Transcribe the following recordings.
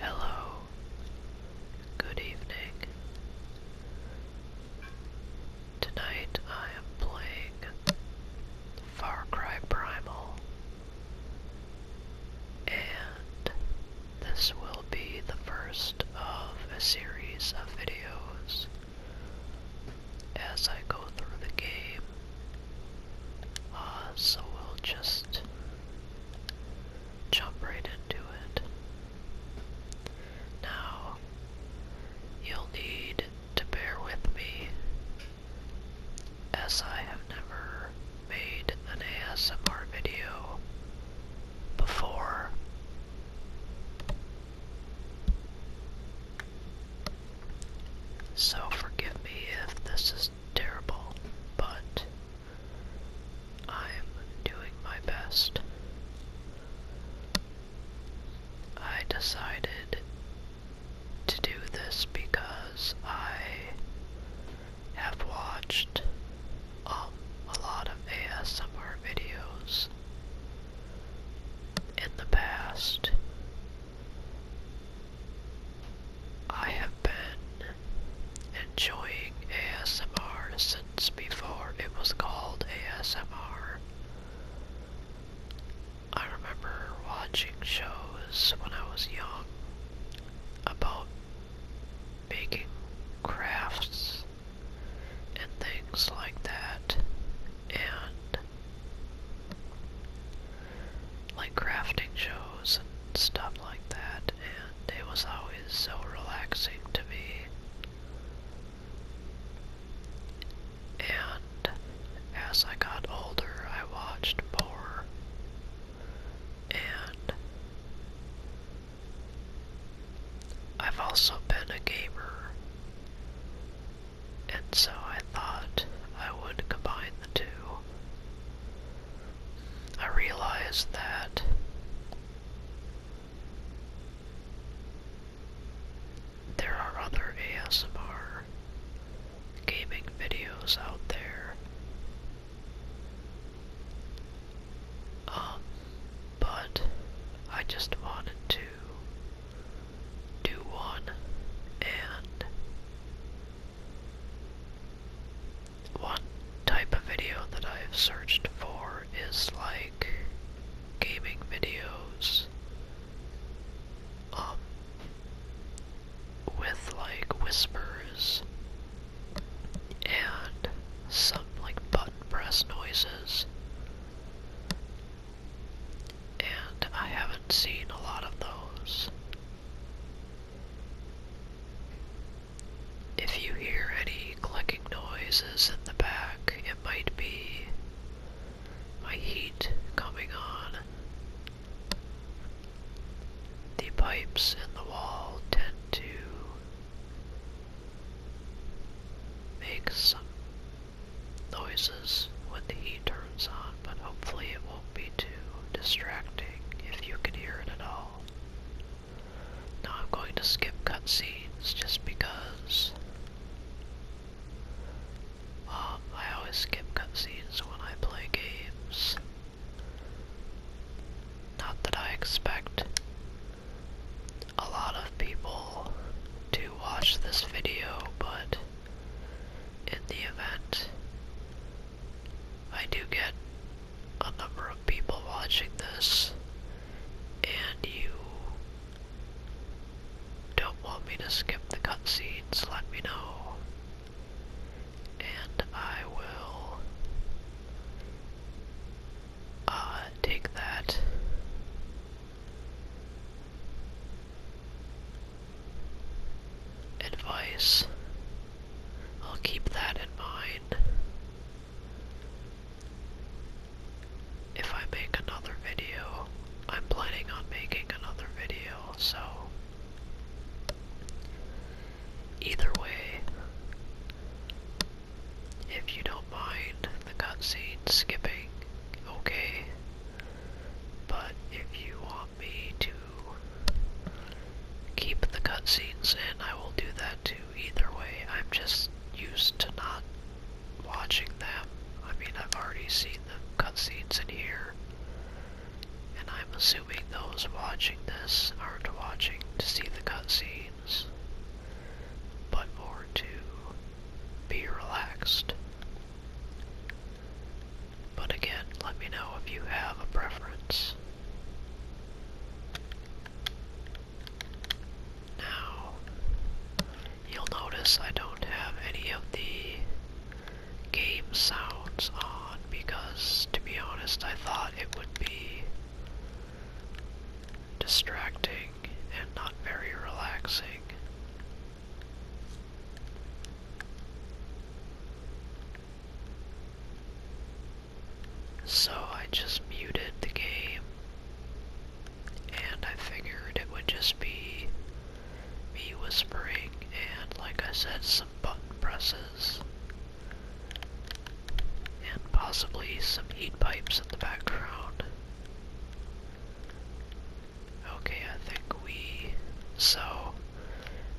Hello. Good evening. Tonight I am playing Far Cry Primal. And this will be the first of a series of videos as I go through the game uh, so we'll just jump right into it. Now, you'll need to bear with me, as I have never made an ASMR video before. So forgive me if this is terrible, but I'm doing my best. I decided to do this because I have watched um, a lot of ASMR videos in the past I have been enjoying ASMR since before it was called ASMR. I remember watching shows when I was young about making crafts and things like that, and like crafting shows and stuff like that, and it was always so relaxing to me. And as I got older, I watched more, and I've also been a gamer and so I thought I would combine the two. I realized that there are other ASMR gaming videos out there. Um, but I just wanted to do one and one type of video that I've searched for is like gaming videos um with like whispers and some like button press noises and I haven't seen a lot of those. If you hear any clicking noises in the back, it might be my heat coming on. The pipes in the wall tend to make some noises when the e turns on, but hopefully it won't be too distracting if you can hear it at all. Now I'm going to skip cutscenes just because I always skip cutscenes when I play games. Not that I expect a lot of people to watch this video, but in the event I do get a number of people watching this and you don't want me to skip the cutscenes, let me know. And I will uh, take that advice. I'll keep that in mind. If I make another video, I'm planning on making another video, so either way, if you don't mind the cutscene skipping, okay. But if you want me to keep the cutscenes, and I will do that too. Either way, I'm just used to not watching them. I mean, I've already seen the cutscenes in here, and I'm assuming those watching this aren't watching to see the cutscenes, but more to be relaxed. But again, let me know if you have a preference. Now, you'll notice I don't have any of the game sounds on because, to be honest, I thought it would be distracting and not very relaxing. So I just muted the game, and I figured it would just be me whispering and, like I said, some button presses, and possibly some heat pipes in the background. Okay, I think we... So...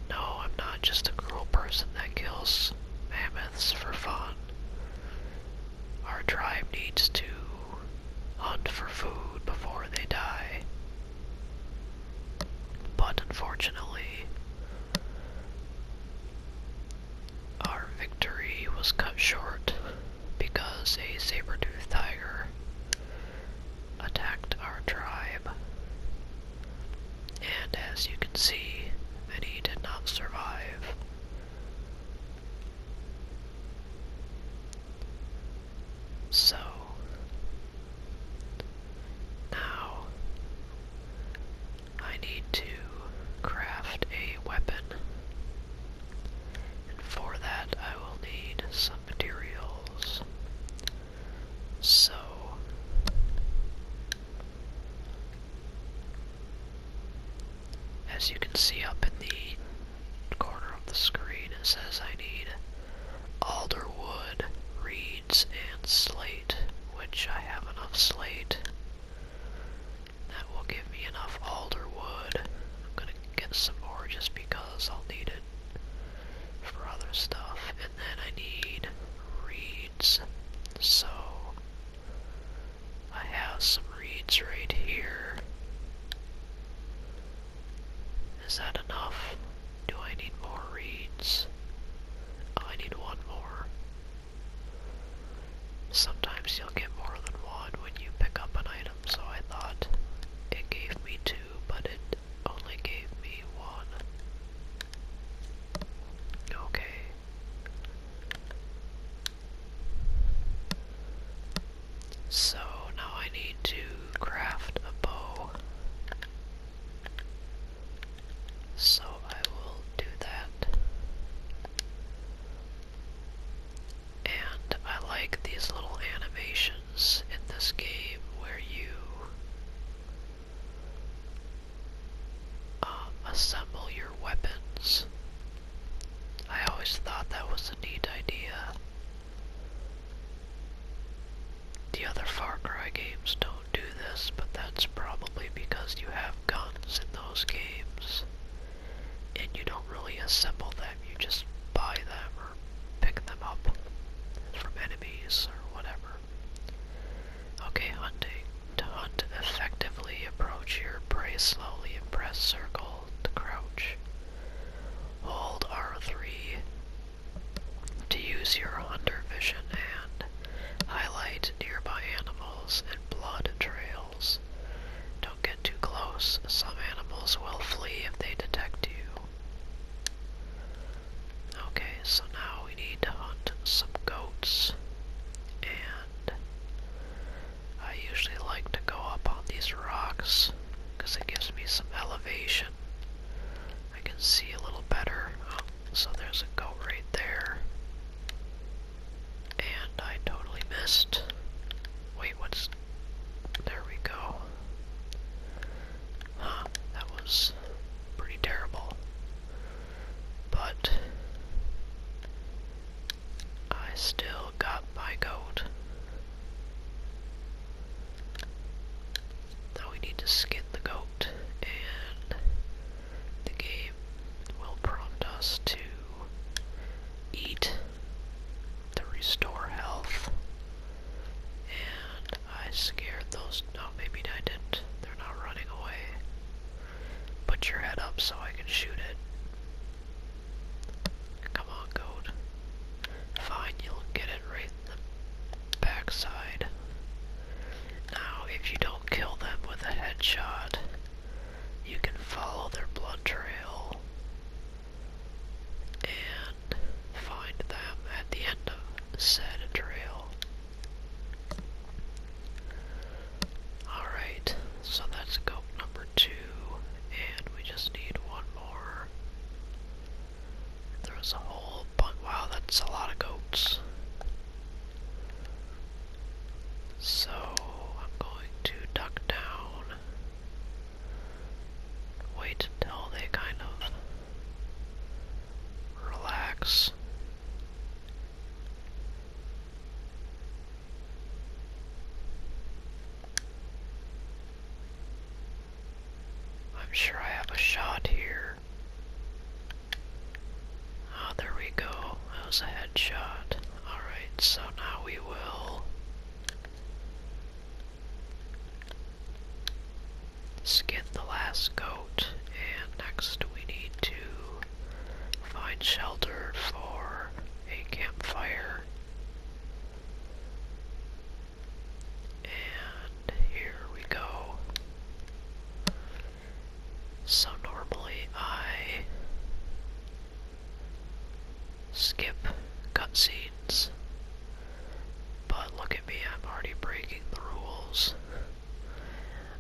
No, I'm not just a cruel person that kills mammoths for fun. Our tribe needs to hunt for food before they die. But unfortunately, our victory was cut short because a saber-toothed tiger attacked our tribe. And as you can see, many did not survive. So, now I need to craft a weapon. And for that I will need some materials. So as you can see up in the corner of the screen, it says I need alder wood, reeds, and slate, which I have enough slate. That will give me enough alder wood. I'm gonna get some more just because I'll need it for other stuff. And then I need reeds. So I have some reeds right here. Is that enough? Do I need more reeds? Oh, I need one more. Sometimes you'll get more than one when you pick up an item, so I thought it gave me two but it only gave me one. Okay. So now I need to craft a bow. So I will do that. And I like these little animations in this game where you uh, assemble your weapons. I always thought that was a neat idea. The other Far Cry games don't do this, but that's probably because you have guns in those games. And you don't really assemble them, you just buy them pick them up from enemies or whatever. Okay, hunting. To hunt, effectively approach your prey slowly and press circle to crouch. Hold R3 to use your hunter vision and highlight nearby animals and blood trails don't get too close. Some animals will flee if they detect you. Okay, so now we need to hunt some goats. And I usually like to go up on these rocks because it gives me some elevation. I can see a little better. Oh, so there's a goat right there. And I totally missed. Wait, what's there we go. Huh, that was pretty terrible. But I still got my goat. Now we need to skin the goat, and the game will prompt us to eat to restore health. And I scared those. No, maybe I didn't. They're not running away. Put your head up so I can shoot it. Come on, goat. Fine, you'll get it right backside. Now, if you don't kill them with a headshot, you can follow their blood trail and find them at the end of said trail. Alright, so that's goat number two, and we just need one more. There's a whole bunch. Wow, that's a lot of goats. So I'm going to duck down wait until they kind of relax. I'm sure I have a shot here. Ah, oh, there we go. That was a headshot. Alright, so now we will skin the last goat, and next we need to find shelter for a campfire. And here we go. So normally I skip cutscenes. But look at me, I'm already breaking the rules.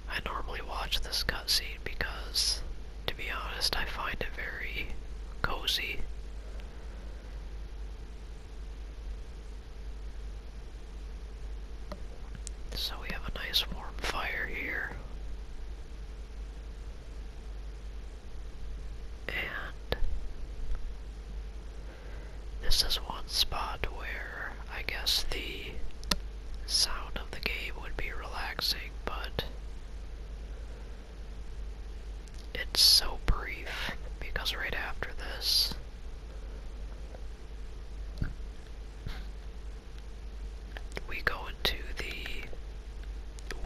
I normally watch this cutscene because, to be honest, I find it very cozy. So we have a nice warm fire here. And this is one spot where I guess the sound of the game would be relaxing, but it's so brief because right after this. We go into the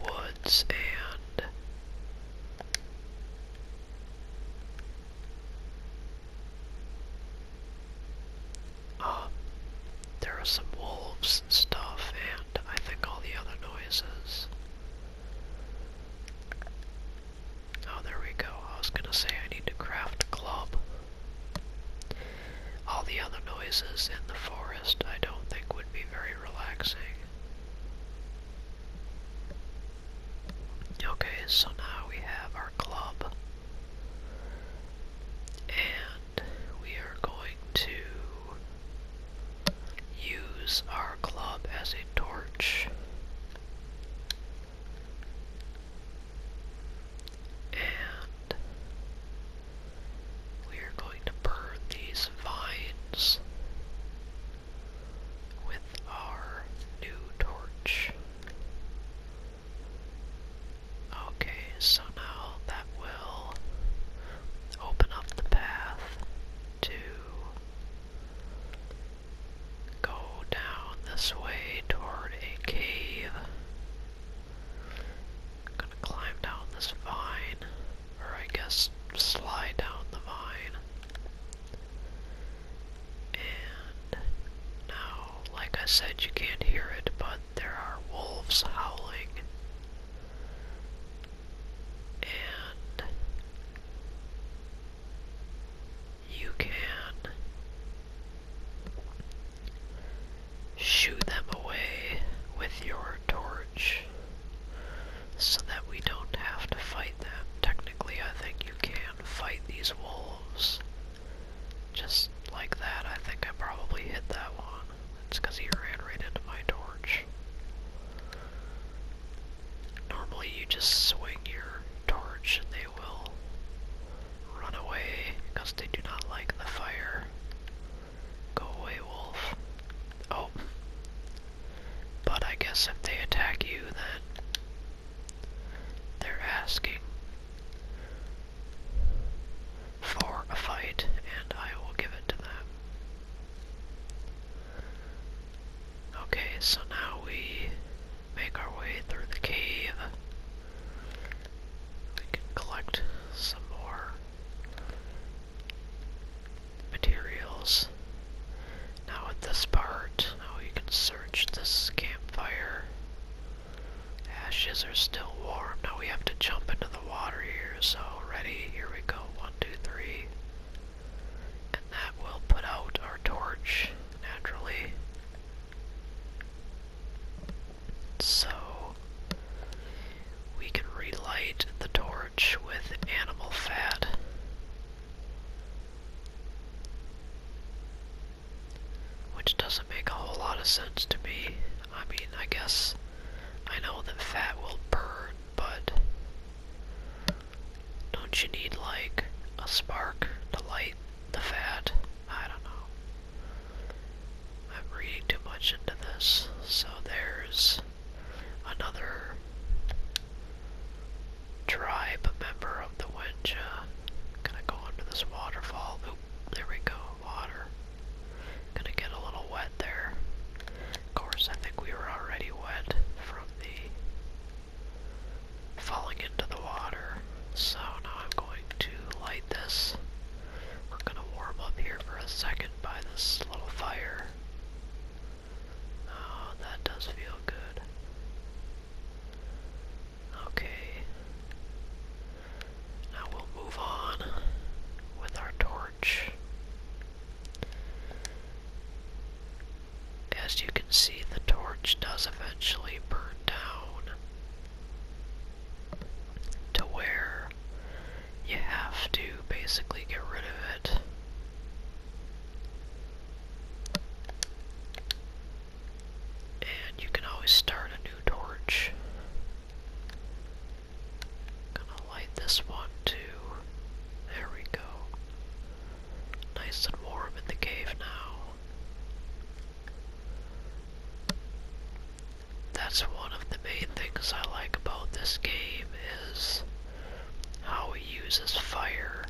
woods and um, there are some wolves and stuff, and I think all the other noises. Oh, there we go. I was gonna say I need to craft club. All the other noises in the forest I don't think would be very relaxing. Okay, so now we have our club. And we are going to use our club as a torch. And we are going to burn these vines with our new torch. Okay, so now that will open up the path to go down this way toward a cave. gonna climb down this vine or I guess slide down the vine. And now, like I said, you can't hear it, but there are wolves howling. And you can shoo them away with your torch so that we don't have to fight them. Technically, I think you can fight these wolves. Just like that, I think I probably hit that one. It's because he ran right into my torch. Normally, you just swing your torch and they will run away because they do not like the fire. Go away, wolf. Oh. But I guess if they attack you, then they're asking for a fight, and I will give it to them. Okay, so now we make our way through the cave. We can collect some more materials. Now at this part, now we can search this campfire. Ashes are still warm. Now we have to jump into the water here. So ready, here we go. One, two, three. And that will put out our torch naturally. So we can relight the torch with animal fat. Which doesn't make a whole lot of sense to me. I mean, I guess I know that fat will burn, but don't you need, like, a spark to light the fat? I don't know. I'm reading too much into this. So there's another tribe member of the Winja. Gonna go under this waterfall. there we go, water. Gonna get a little wet there. Of course, I think we were already wet from the falling into the water. So now I'm going to light this. We're gonna warm up here for a second by this little fire. Oh, that does feel good. Okay. Now we'll move on with our torch. As you can see, the torch does eventually burn down to where you have to basically get rid of it. And you can always start a new torch. gonna light this one too. There we go. Nice and warm in the cave now that's one of the main things I like about this game is how it uses fire.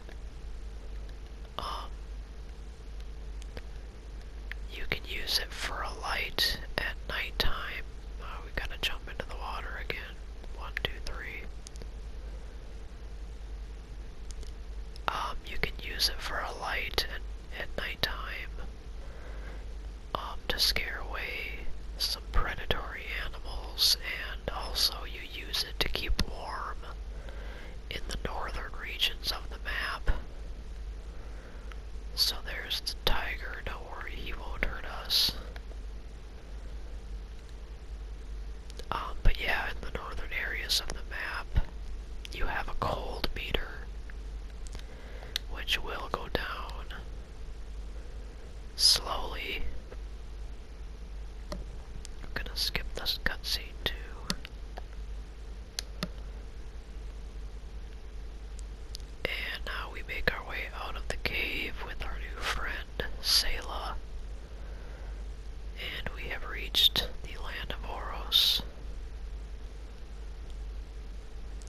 Um, you can use it for a light at nighttime. Uh, we gotta jump into the water again. One, two, three. Um, you can use it for a light at nighttime. Um, to scare away some predatory animals, and also you use it to keep warm in the northern regions of the map. So there's the tiger, don't worry, he won't hurt us. Um, but yeah, in the northern areas of the map, you have a cold meter, which will go down slowly. I'm gonna skip this cutscene too. And now we make our way out of the cave with our new friend, Selah. And we have reached the land of Oros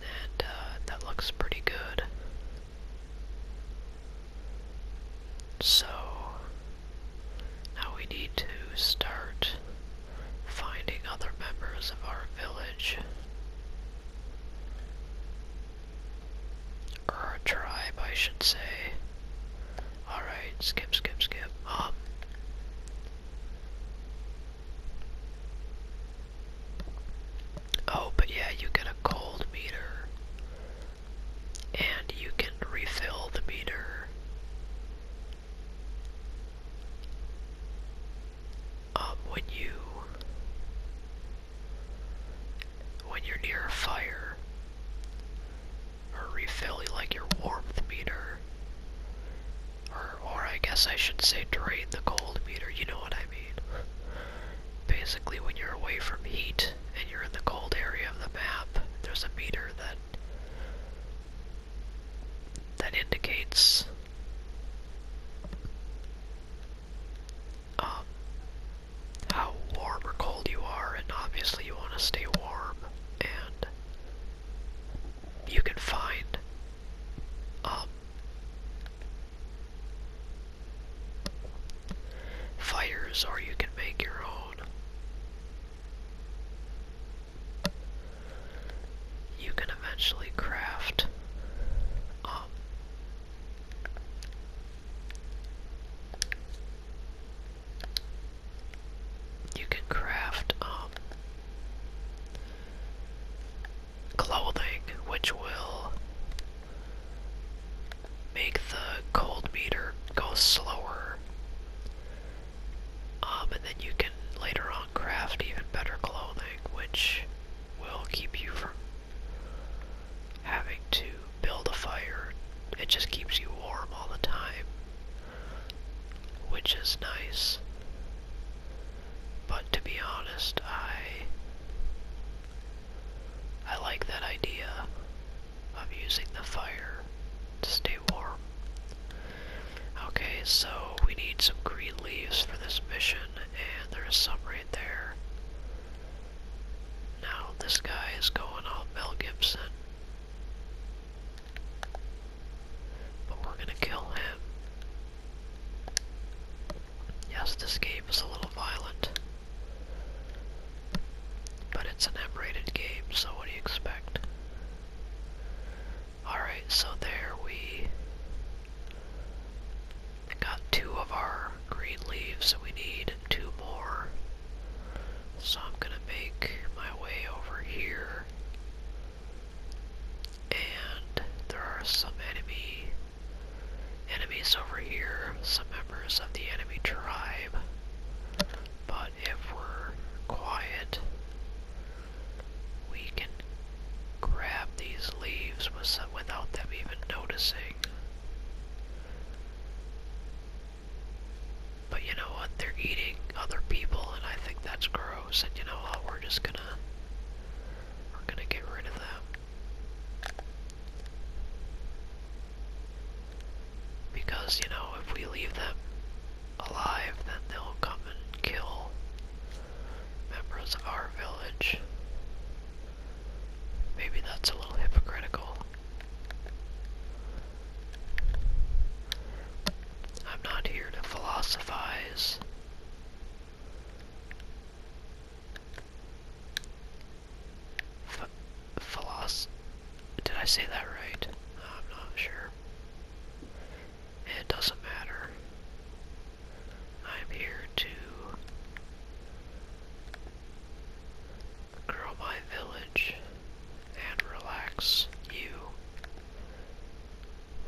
and uh, that looks pretty good. So now we need to start finding other members of our village or tribe, I should say. All right, skip, skip, skip. Um, Oh, but yeah, you get a cold meter. And you can refill the meter. Um, when you when you're near a fire or refill like your warmth meter or or I guess I should say drain the cold meter, you know what I mean. Basically, when you're away from heat and you're in the cold area of the map, there's a meter that that indicates um, how warm or cold you are, and obviously you want to stay warm, and you can find up. Um, Fires, or you can make your own. You can eventually craft um, you can craft um clothing, which will make the cold meter go slower. Um, and then you can later on craft even better clothing, which will keep you from having to build a fire. It just keeps you warm all the time, which is nice. But to be honest, I I like that idea of using the fire to stay warm. Okay, so we need some green leaves for this mission, and there's some right there. Now this guy is going all Mel Gibson. But we're gonna kill him. Yes, this game is a little violent. But it's an M-rated game, so what do you expect? Alright, so there we got two of our green leaves, we need two more. So I'm gonna make my way over here and there are some enemy enemies over here, some members of the enemy tribe. But if we're quiet, we can grab these leaves without them even noticing. But you know what? They're eating other people, and I think that's gross. And you know what? We're just gonna we're gonna get rid of that. Because, you know, if we leave them alive, then they'll come and kill members of our village. Maybe that's a little hypocritical. I'm not here to philosophize F philos Did I say that right? I'm not sure. It doesn't matter. I'm here to grow my village and relax you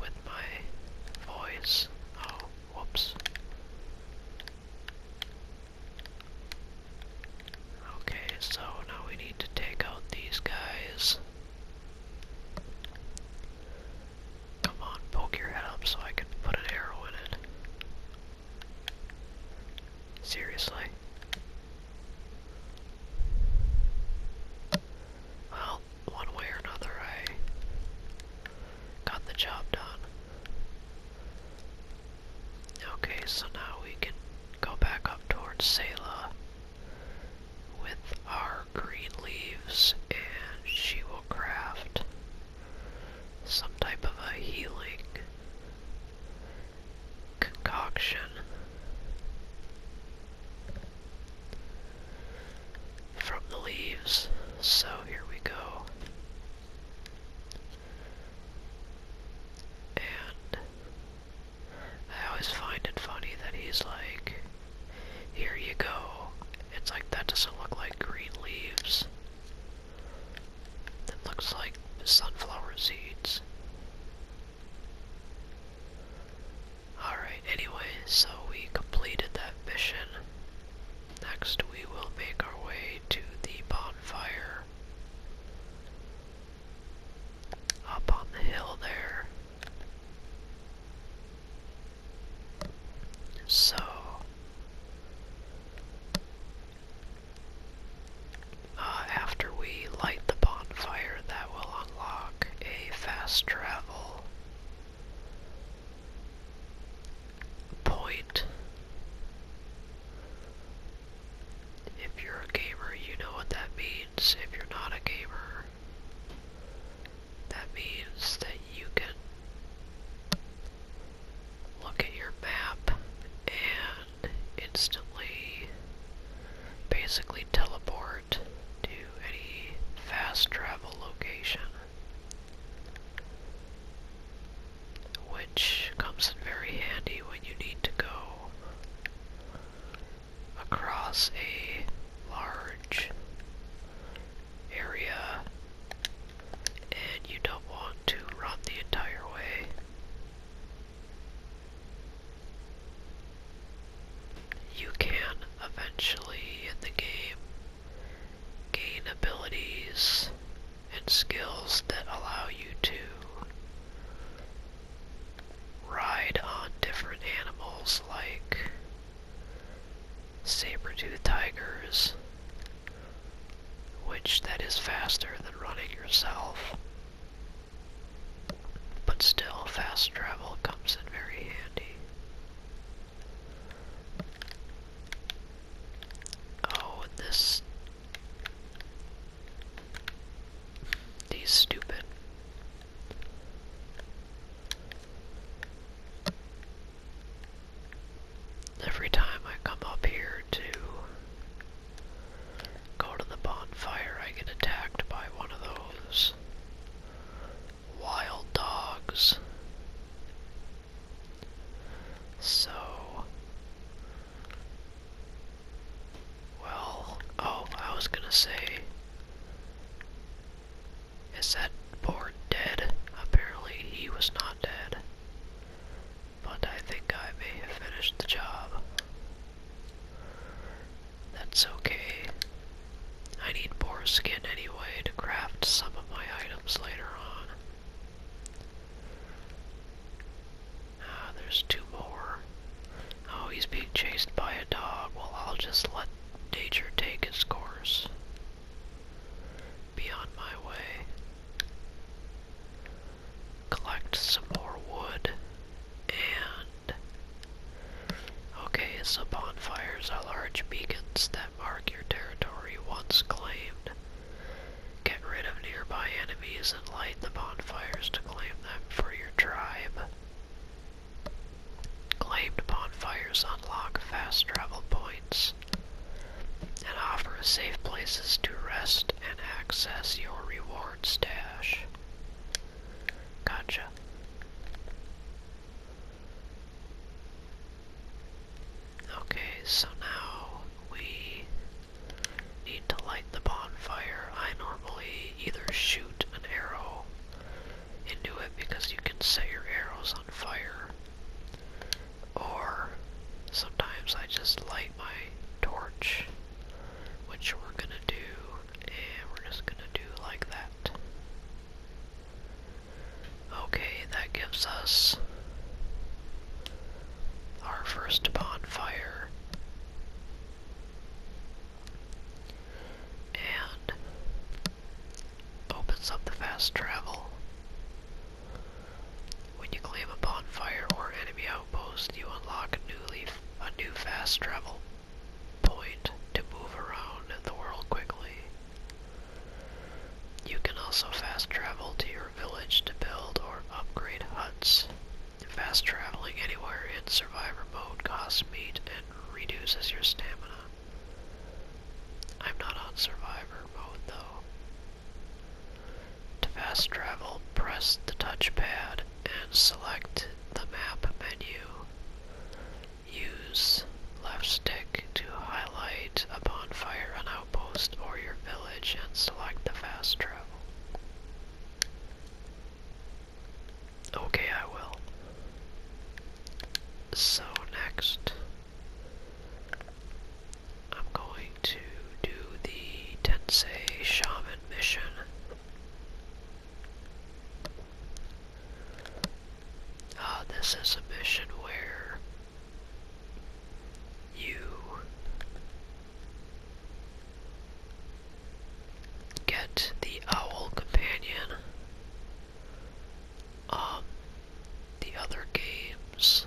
with my voice. Oh, Whoops. Okay, so now we need to take out these guys. Come on, poke your head up so I can put an arrow in it. Seriously. Well, one way or another, I got the job done. Okay, so now we can go back up towards Selah with our green leaves, and she will craft some type of a healing concoction from the leaves. So here we go. And I always find it funny that he's like, here you go. It's like, that doesn't look like green leaves. It looks like sunflower seeds. Alright, anyway, so we completed that mission. Next, we will make our way to the bonfire. Up on the hill there. So. Uh, after we light the bonfire, that will unlock a fast travel point. If you're a gamer, you know what that means. If you're not a gamer, that means that you can look at your map and instantly basically teleport to any fast travel location which comes in very handy when you need to go across a large area and you don't want to run the entire way. You can eventually in the game gain abilities and skills that allow you to ride on different animals like saber-toothed tigers, which that is faster than running yourself. But still, fast travel comes in very handy. Oh, this. These stupid. Every time I come up here to go to the bonfire, I get attacked by one of those. Wild Dogs. So, well, oh, I was gonna say, is that poor dead? Apparently he was not dead, but I think I may have finished the job. That's okay. I need boar skin anyway to craft some of my items later on. Ah, there's two more. Oh, he's being chased by a dog. Well, I'll just let nature take its course. Be on my way. Collect some more wood and Okay, so bonfires are large beacons that mark your territory once claimed. Get rid of nearby enemies and light the bonfires to claim them for your tribe. Claimed bonfires unlock fast travel points and offer safe places to rest and access your reward stash. Gotcha. Okay, so now we need to light the bonfire. I normally either shoot an arrow into it because you can set your arrows on fire, or sometimes I just light my torch, which we're gonna do, and we're just gonna do like that. Okay, that gives us our first bonfire. And opens up the fast travel. When you claim a bonfire or enemy outpost, you unlock a new leaf a new fast travel point to move around the world quickly. You can also fast travel to your village to build or upgrade huts. Fast traveling anywhere in survivor mode costs meat and reduces your stamina. I'm not on survivor mode though. To fast travel, press the touchpad and select the map menu. Use left stick to highlight a bonfire, an outpost, or your village and select the fast travel. Okay, I will. So next, I'm going to do the Tensei Shaman mission. Uh, this is a mission where you get the Owl Companion. Um, the other games,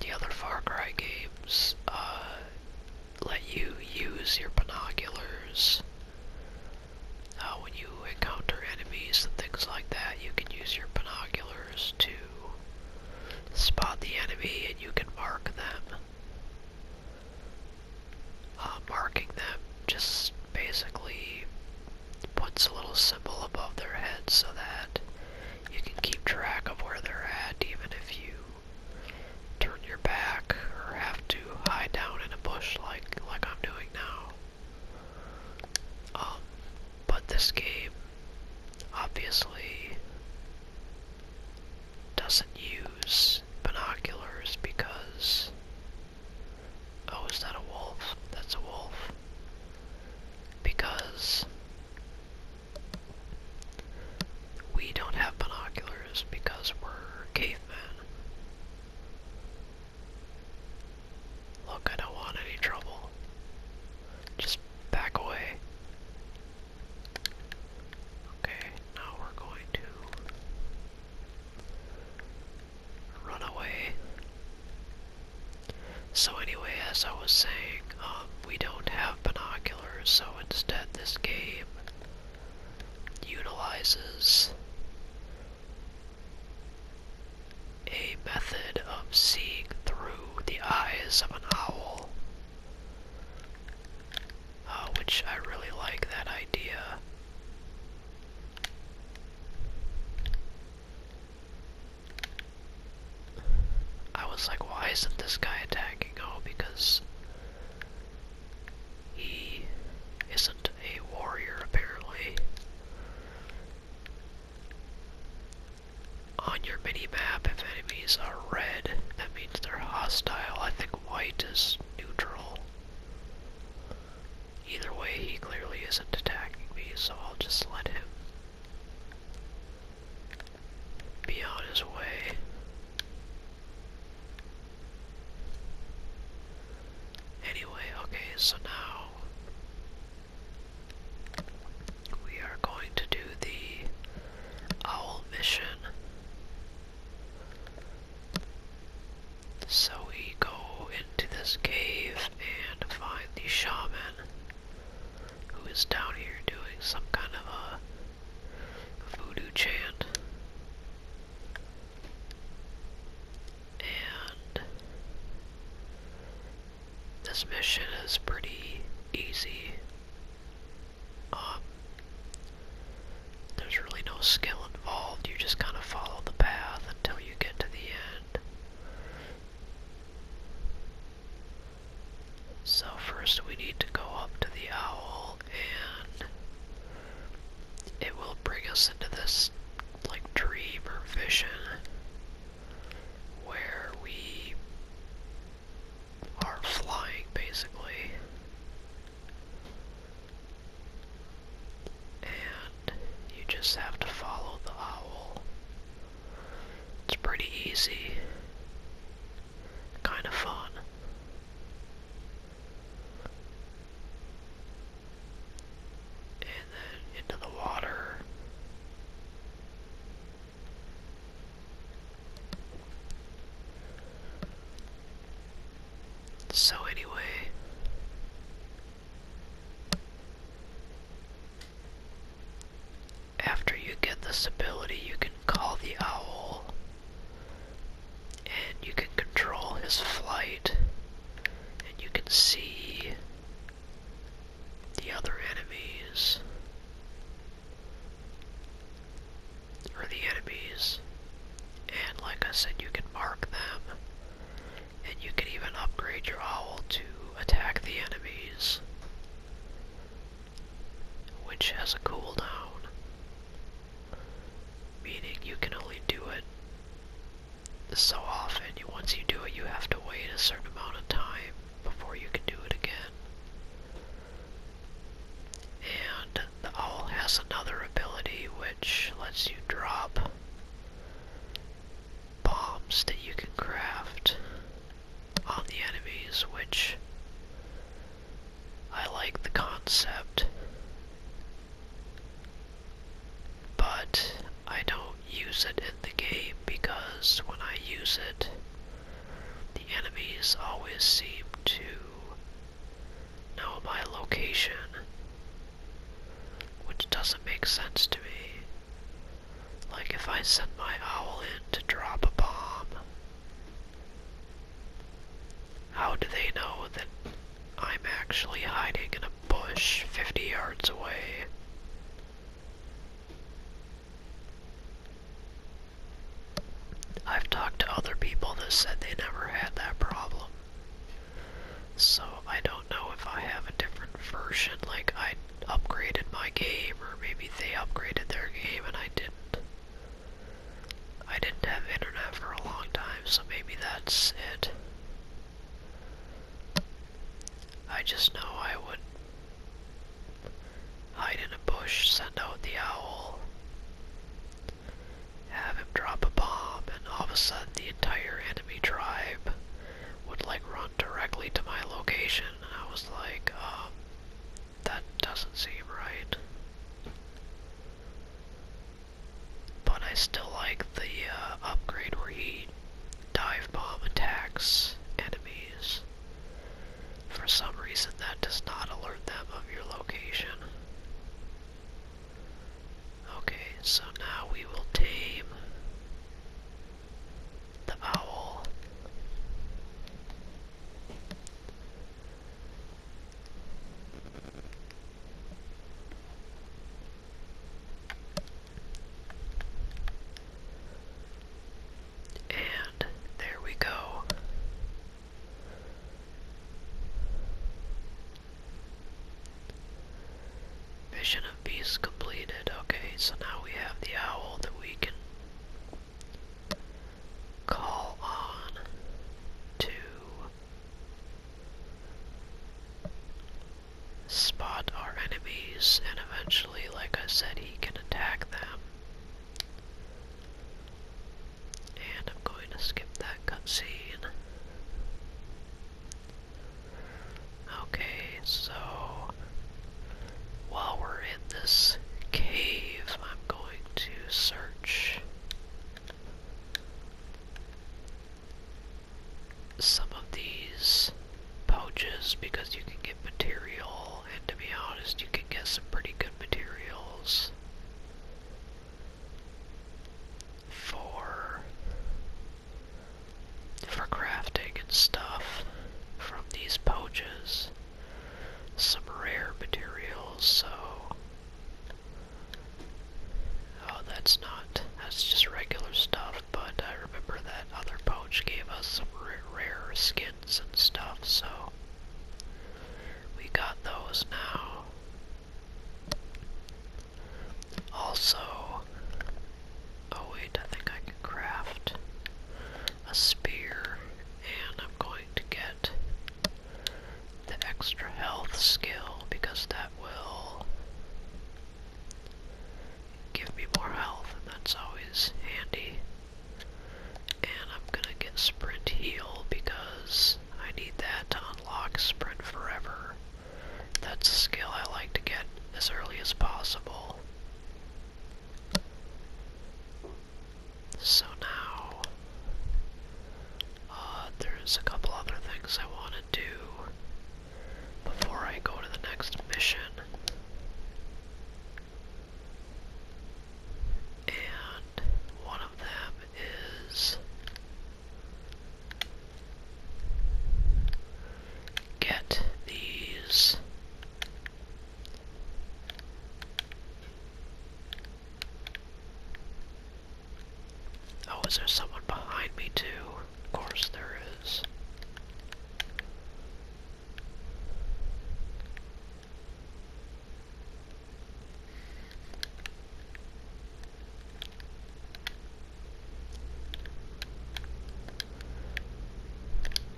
the other Far Cry games, uh, let you use your binoculars uh, when you encounter enemies and things like that, you can use your binoculars to spot the enemy and you can mark them. Uh, marking them just basically puts a little symbol above their head so that you can keep track of where they're at even if you turn your back or have to hide down in a bush like like I'm doing now. Um, but this game obviously doesn't use binoculars because oh is that a wolf? That's a wolf. Because we don't have binoculars because we're cavemen. Look, I don't want any trouble. Just back away. Okay, now we're going to run away. So anyway, as I was saying, um, we don't have binoculars, so instead this game utilizes a method of seeing through the eyes of an owl, uh, which I really like that idea. I was like, why isn't this guy attacking? Oh, because he isn't a warrior, apparently. On your mini-map, if enemies are red, that means they're hostile. I think white is neutral. Either way, he clearly isn't attacking me, so I'll just let him be on his way. Anyway, okay, so now we are going to do the owl mission. So we go into this cave and find the shaman who is down here doing some kind of a voodoo chant. And this mission is pretty easy. Um, there's really no skill involved, you just kind of follow the path until you get to the end. So, first we need to go up to the owl and it will bring us into this like dream or vision where we are flying basically and you just have to follow the owl it's pretty easy kind of fun and then into the water. So, anyway, after you get this ability, you can call the owl and you can control his flight, and you can see the other enemies, or the enemies, and like I said, you can mark them, and you can even upgrade your owl to attack the enemies, which has a cooldown. Meaning you can only do it so often. Once you do it, you have to wait a certain amount of time before you can do it again. And the owl has another ability which lets you drop bombs that you can craft on the enemies, which I like the concept, but I don't use it in the game because when I use it, the enemies always seem to know my location, which doesn't make sense to me. Like if I send my owl in to drop a bomb, how do they know that I'm actually hiding in a bush 50 yards away? I've talked to other people that said they never had that problem. So I don't know if I have a different version, like I upgraded my game, or maybe they upgraded their game and I didn't. I didn't have internet for a long time, so maybe that's it. I just know I would hide in a bush, send out the owl, have him drop a bomb, and all of a sudden the entire enemy tribe would like run directly to my location. And I was like, um, that doesn't seem right. But I still like the uh, upgrade where he dive bomb attacks enemies. For some reason, that does not alert them of your location. Okay, so now we will tame the owl. And there we go. Mission of Beast completed. Okay, so now we have the owl that we call on to spot our enemies and eventually like I said he can attack them and I'm going to skip that cutscene okay so while we're in this cave I'm going to search some of these pouches because you can get material, and to be honest, you can get some pretty good materials for for crafting and stuff from these pouches some rare materials, so... Oh, that's not... That's just regular stuff, but I remember that other pouch gave us some rare skins and stuff, so... We got those now. Also... Oh wait, I think I can craft a spear, and I'm going to get the extra health skill because that will give me more health, that's always handy. And I'm gonna get Sprint Heal because I need that to unlock Sprint Forever. That's a skill I like to get as early as possible. So now, uh, there's a couple other things I want to do before I go to the next mission. And one of them is get these Oh, is there someone behind me too? Of course there is.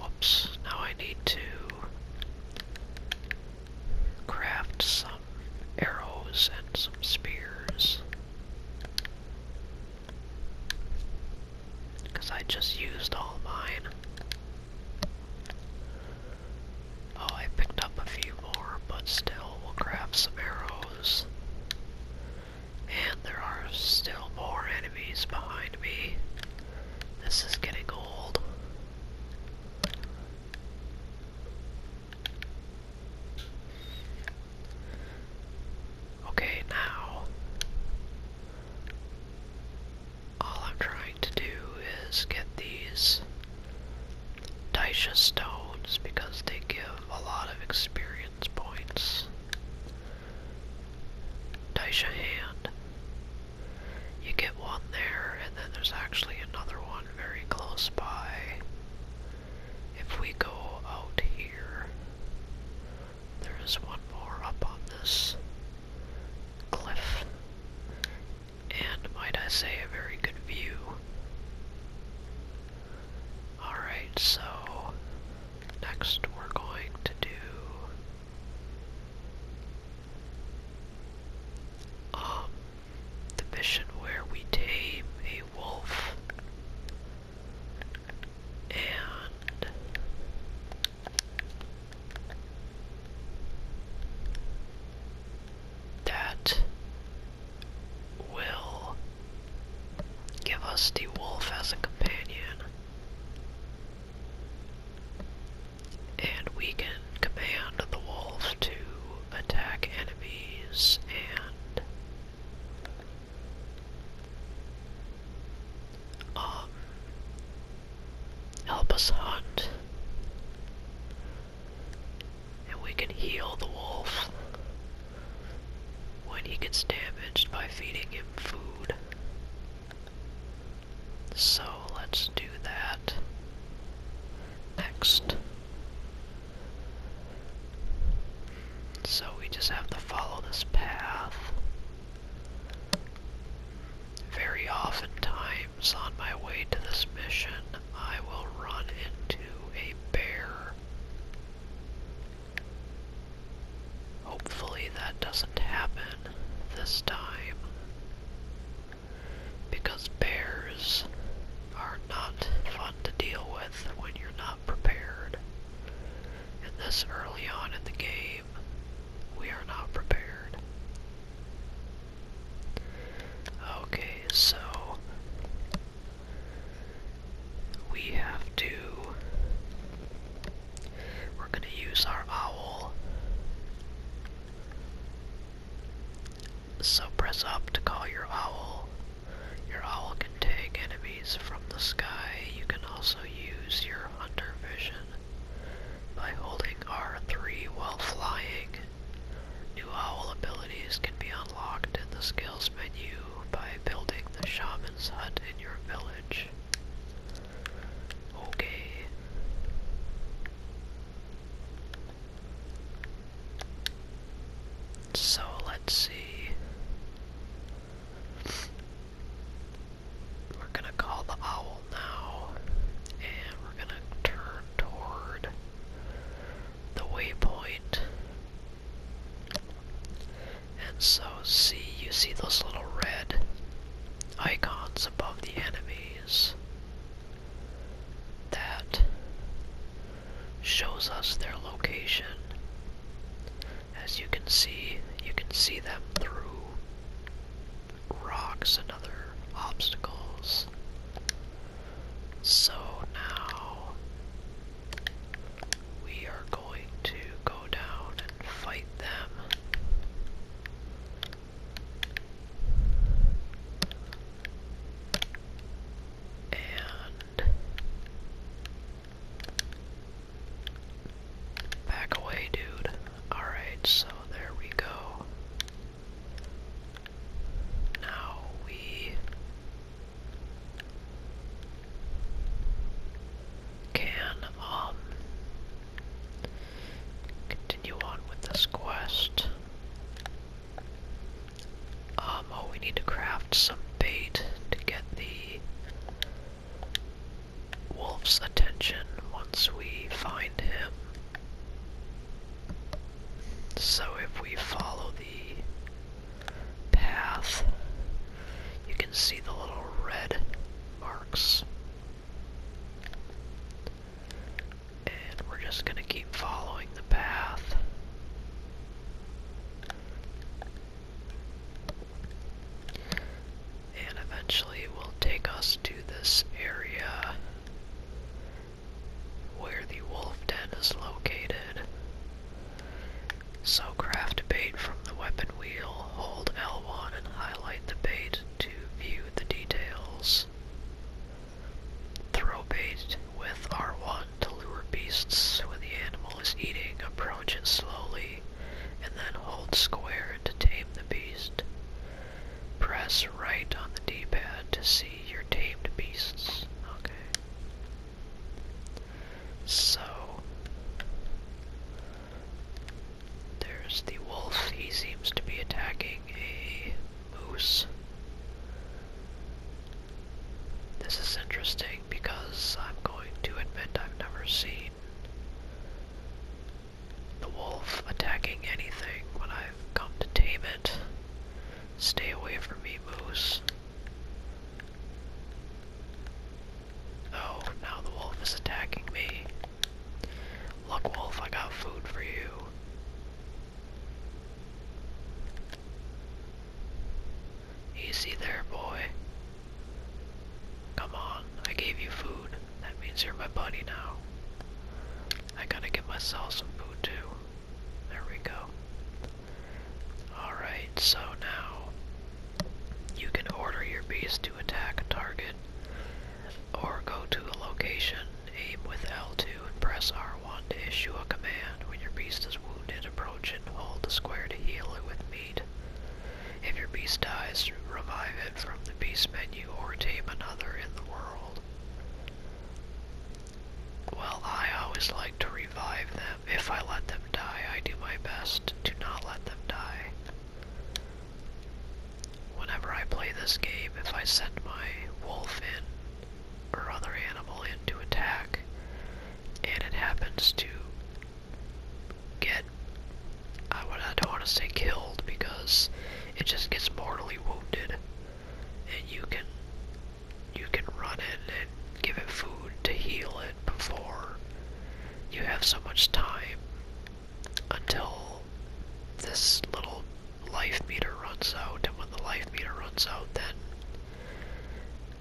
Whoops, now I need to craft some arrows and some spears. Because I just used all mine. Oh, I picked up a few more, but still, we'll craft some arrows. And there are still more enemies behind me. This is getting old. Okay, now all I'm trying to do is get these Daisha stones because they give a lot of experience points. Daisha hand. You get one there, and then there's actually another one very close by. If we go out here, there is one more up on this cliff, and might I say a very good view. Alright, so next we're going to do um, the mission where we tame a wolf and that will give us the wolf as a companion and we can command the wolf to attack enemies and um, help us hunt and we can heal the wolf when he gets damaged by feeding him food so let's do that next. So we just have to follow this path. Very oftentimes on my way to this mission, I will run into a bear. Hopefully that doesn't happen this time because bears are not fun to deal with when you're not prepared. And this early on in the game, we are not prepared. Okay, so we have to. We're going to use our owl so press up to call your owl. Your owl can take enemies from the sky. You can also use your hunter vision by holding R3 while flying. New owl abilities can be unlocked in the skills menu by building the shaman's hut in your village. Okay. So let's see. We're gonna call the owl now, and we're gonna turn toward the waypoint. And so, see, you see those little red icons above the enemies that shows us their location. As you can see, you can see them through rocks and other obstacles. So now we are going to go down and fight them. And back away, dude. Alright, so there we go. Now we can, um, continue on with this quest. Um, oh, we need to craft some bait to get the wolf's attention once we find him. So if we follow the path, you can see the little red marks and we're just going to keep following the path. And eventually it will take us to this area where the wolf den is located. So craft bait from the weapon wheel, hold L1 and highlight the bait to view the details. Throw bait with R1 to lure beasts when the animal is eating, approach it slowly, and then hold square to tame the beast. Press right on the D-pad to see your tamed beasts. Okay. So, there's the wolf. He seems to be attacking a moose. This is interesting because I'm going to admit I've never seen the wolf attacking anything when I've come to tame it. Stay away from me, moose. Oh, now the wolf is attacking me. Look, Wolf, I got food for you. Easy there, boy. Come on, I gave you food. That means you're my buddy now. I gotta get myself some food too. There we go. Alright, so now you can order your beast to attack a target or go to a location, aim with L2 and press R1 to issue a command. When your beast is wounded, approach and hold the square to heal it with meat. If your beast dies, revive it from the beast menu or tame another in the world. Well, I always like to revive them. If I let them die, I do my best to not let them die. Whenever I play this game, if I send my wolf in or other animal in to attack, and it happens to get, I, don't want to say killed because it just gets mortally wounded, and you can you can run in and give it food to heal it before you have so much time until this little life meter runs out, and when the life meter runs out, then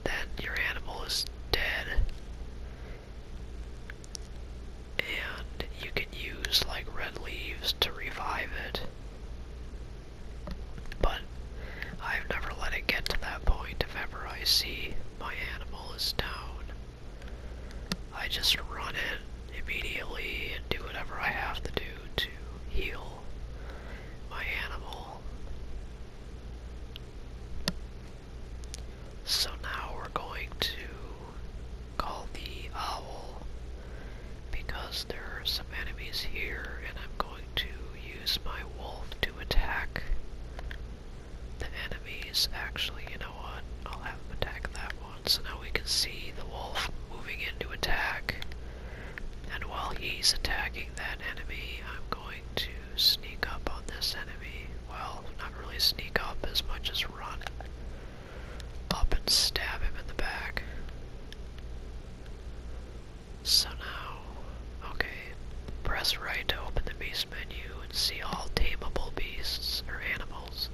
then your animal is dead. And you can use like red leaves to revive it. But I've never let it get to that point if ever I see my animal is down. I just run it immediately and do whatever I have to do to heal my animal. So now we're going to call the owl because there are some enemies here and I'm going to use my wolf to attack the enemies. Actually, you know what? I'll have him attack that one so now we can see the wolf moving into attack. And while he's attacking that enemy, I'm going to sneak up on this enemy. Well, not really sneak up as much as run up and stab him in the back. So now, okay, press right to open the beast menu and see all tameable beasts or animals.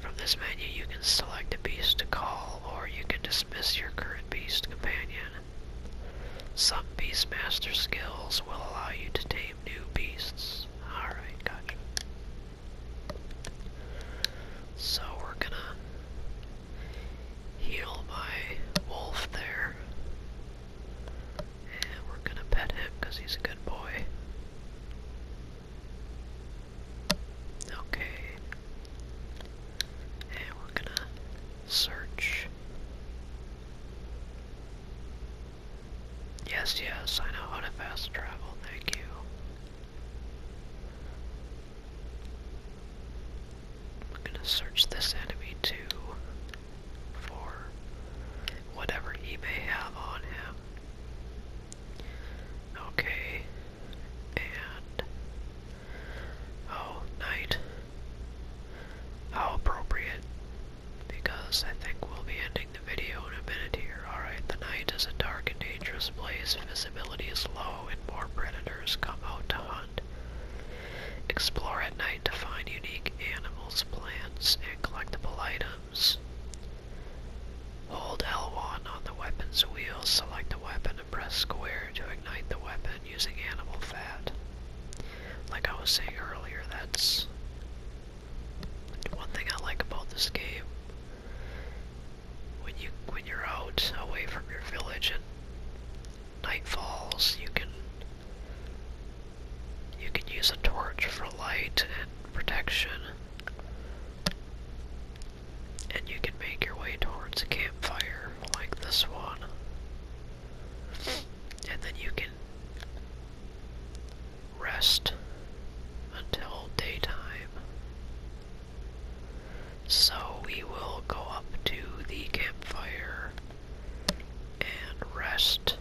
From this menu you can select a beast to call or you can dismiss your current beast companion. Some Beastmaster skills will allow you to tame new beasts. Alright, gotcha. So we're gonna heal my wolf there. And we're gonna pet him because he's a good boy. Okay. And we're gonna search. Yes, yes, I know how to fast travel, thank you. I'm gonna search this enemy too for whatever he may have on him. Okay. And oh, night. How appropriate. Because I think we'll be ending the video in a minute here. Alright, the night is a dark and dangerous place. Visibility is low and more predators come out to hunt. Explore at night to find unique animals, plants, and collectible items. Hold L1 on the weapon's wheel, select the weapon, and press square to ignite the weapon using animal fat. Like I was saying earlier, that's one thing I like about this game. When you when you're out away from your village and night falls, you can you can use a torch for light and protection. And you can make your way towards a campfire like this one. And then you can rest until daytime. So we will go up to the campfire and rest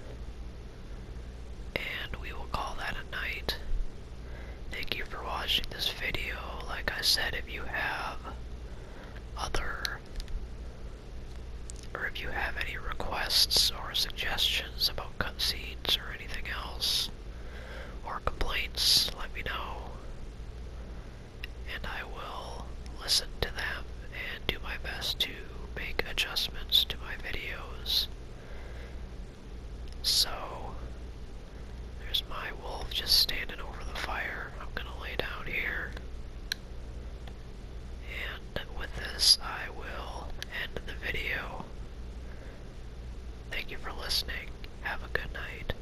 and we will call that a night. Thank you for watching this video. Like I said, if you have other or if you have any requests or suggestions about cutscenes or anything else, or complaints, let me know. And I will listen to them and do my best to make adjustments to my videos. So, there's my wolf just standing over the fire. I'm gonna lay down here. And with this, I will end the video. Thank you for listening. Have a good night.